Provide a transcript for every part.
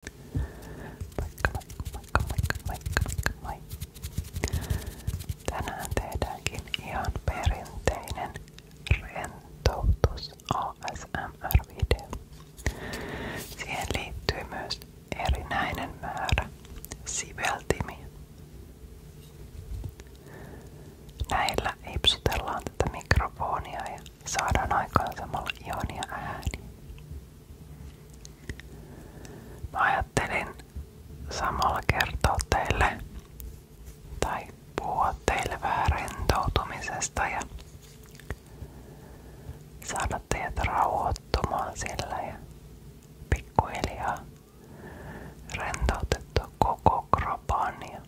Moikka, moikka, moikka, moikka, perinteinen rentoutus ASMR-video. Siihen liittyy myös erinäinen määrä siveltimiä. Näillä hipsutellaan tätä mikrofonia ja saadaan aikaan samalla ihania ääni, Mä ajattelin samalla kertoa teille tai puhua teille vähän rentoutumisesta ja saada teidät rauhoittumaan sillä ja pikkuhiljaa rentoutettua koko kropan ja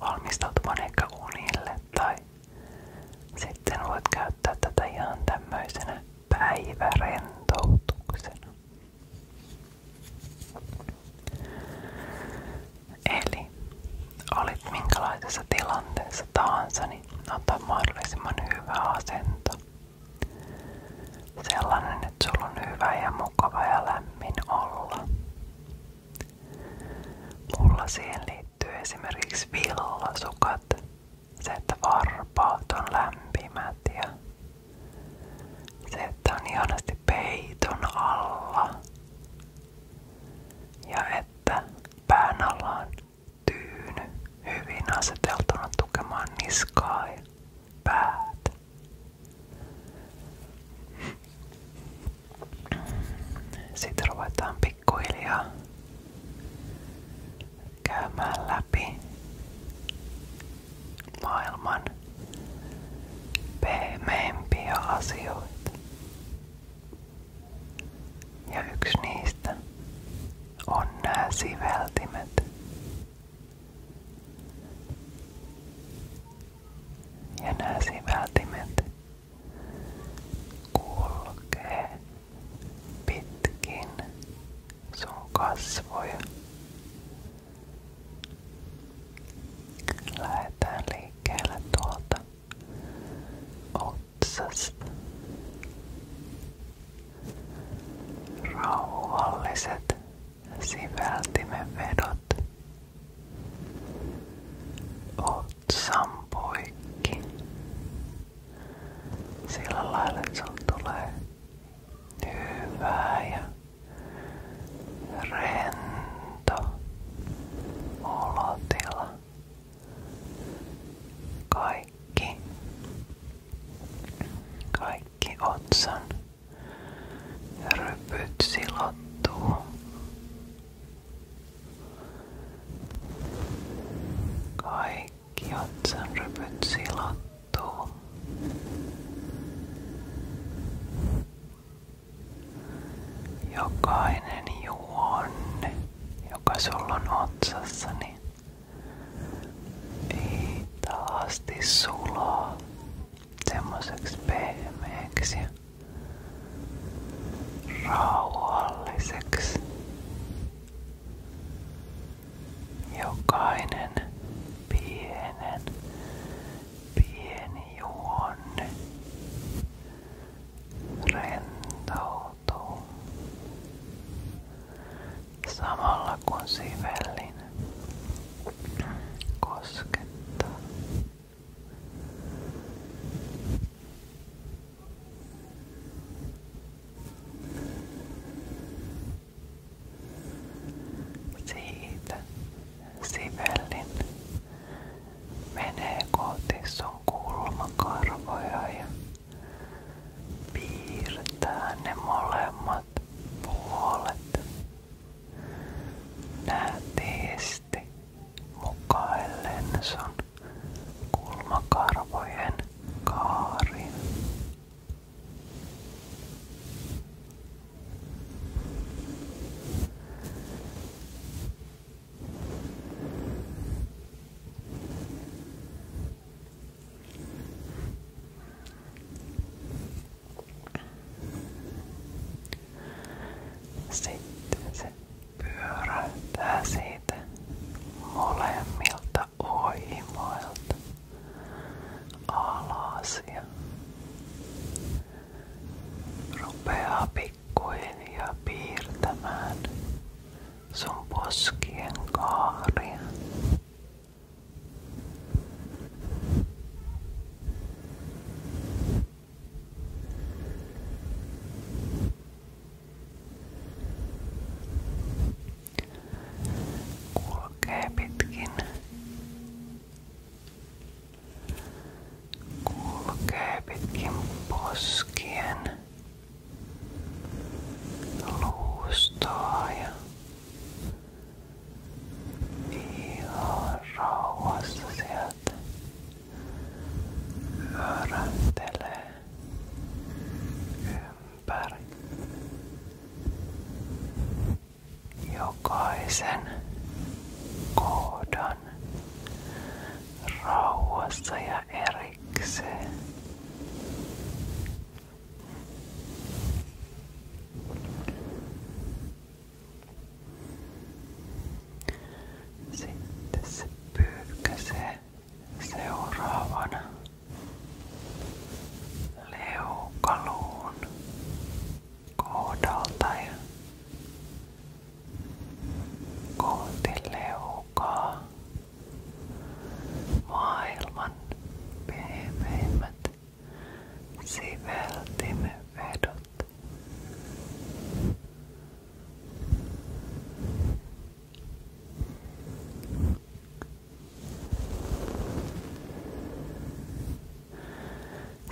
valmistautumaan ehkä unille tai sitten voit käyttää tätä ihan tämmöisenä päivärentoutuksena. Eli olit minkälaisessa tilanteessa tahansa, niin ota mahdollisimman hyvä asento. Sellainen, että sulla on hyvä ja mukava ja lämmin olla. Mulla siihen liittyy esimerkiksi villasukat. Se, että varpaat on lämpimät ja se, että on ihanasti peiton alla. Ja että pään alla on tyyny hyvin aseteltuna tukemaan niskaa ja päätä. Sitten ruvetaan pikkuhiljaa käymään läpi maailman pehmeimpiä asioita. Ja yksi niistä on nämä siveltimet. Ja nämä siveltimet kulkee pitkin sun kasvoja. Lähetään liikkeelle tuolta otsasta. Rauhalliset siveltimen vedot Otsan poikki. Sillä lailla, että sulla tulee hyvää ja rento olotila. Kaikki, kaikki otsan rypyt silottuu kaikki otsanrypyt silottuu. Jokainen juonne, joka sulla on otsassani, niin ei taasti sulaa semmoiseksi pehmeäksi ja rauhalliseksi. Jokainen pienen pieni juonne rentoutuu samalla kun sivellin koskettaa siitä sivellin menee kohti sun kulmakarvoja ja piirtää ne molemmat puolet nätiisti mukaillen sun kulmakarvojen kaarin. Sitten se pyöräyttää siitä molemmilta oimoilta alas ja rupeaa pikkuhiljaa piirtämään sun poskien kaaria. Kulkee pitkin. Kulkee pitkin poskien luustoa ja ihan rauhassa sieltä möröntelee ympäri jokaisen kohdan rauhassa ja erikseen sitten se pyykkäsee seuraavana leukaluun kohdalta ja kohti leukaa maailman pehmeimmät siveltimme vedot.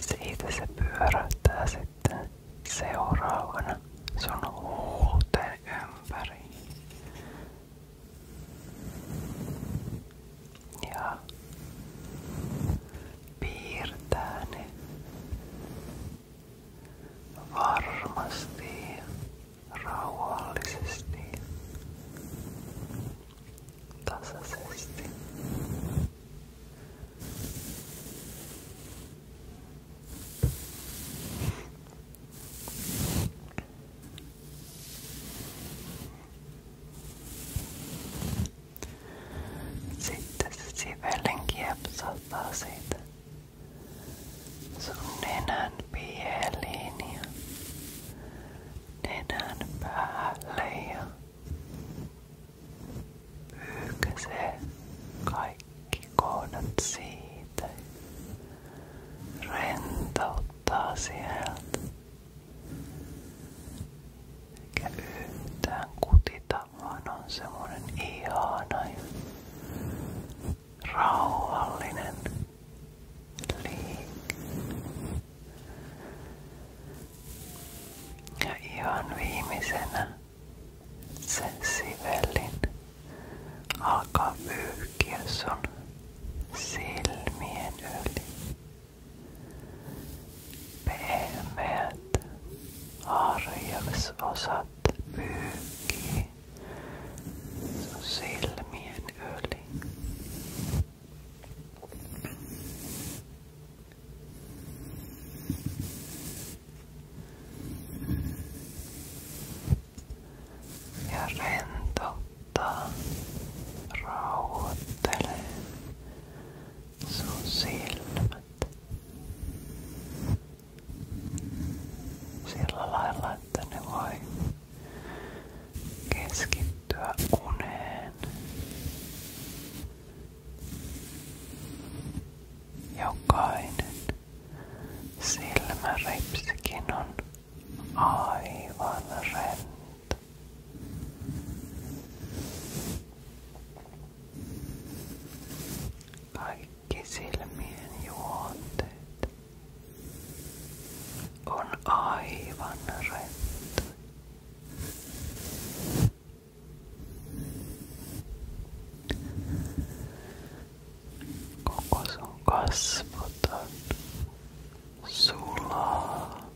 Siitä se pyörähtää sitten seuraavana sun huulten ympäri ja piirtää ne varmasti rauhallisesti tasaisesti sitten se sivellen kiepsauttaa siitä sun nenän pieliin ja nenän päälle ja pyyhkäsee kaikki kohdat siitä. Rentouttaa sieltä. Eikä yhtään kutita, vaan on semmonen ihana ja rauhallinen liike. Ja ihan viimeisenä sen sivellin alkaa pyyhkiä sun silmien yli. Pehmeät harjaksosat pyyhkii sun silmien yli ja rentouttaa, rauhoittelee sun keskittyä uneen. Jokainen silmäripsikin on aivan rento. Kaikki silmien juonteet on aivan rento. Koko sun kasvoton sulaa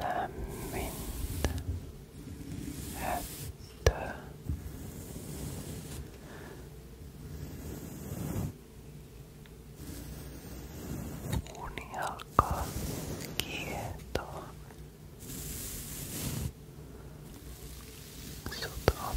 lämmintä höttöä. Uni alkaa kietoon. Sut on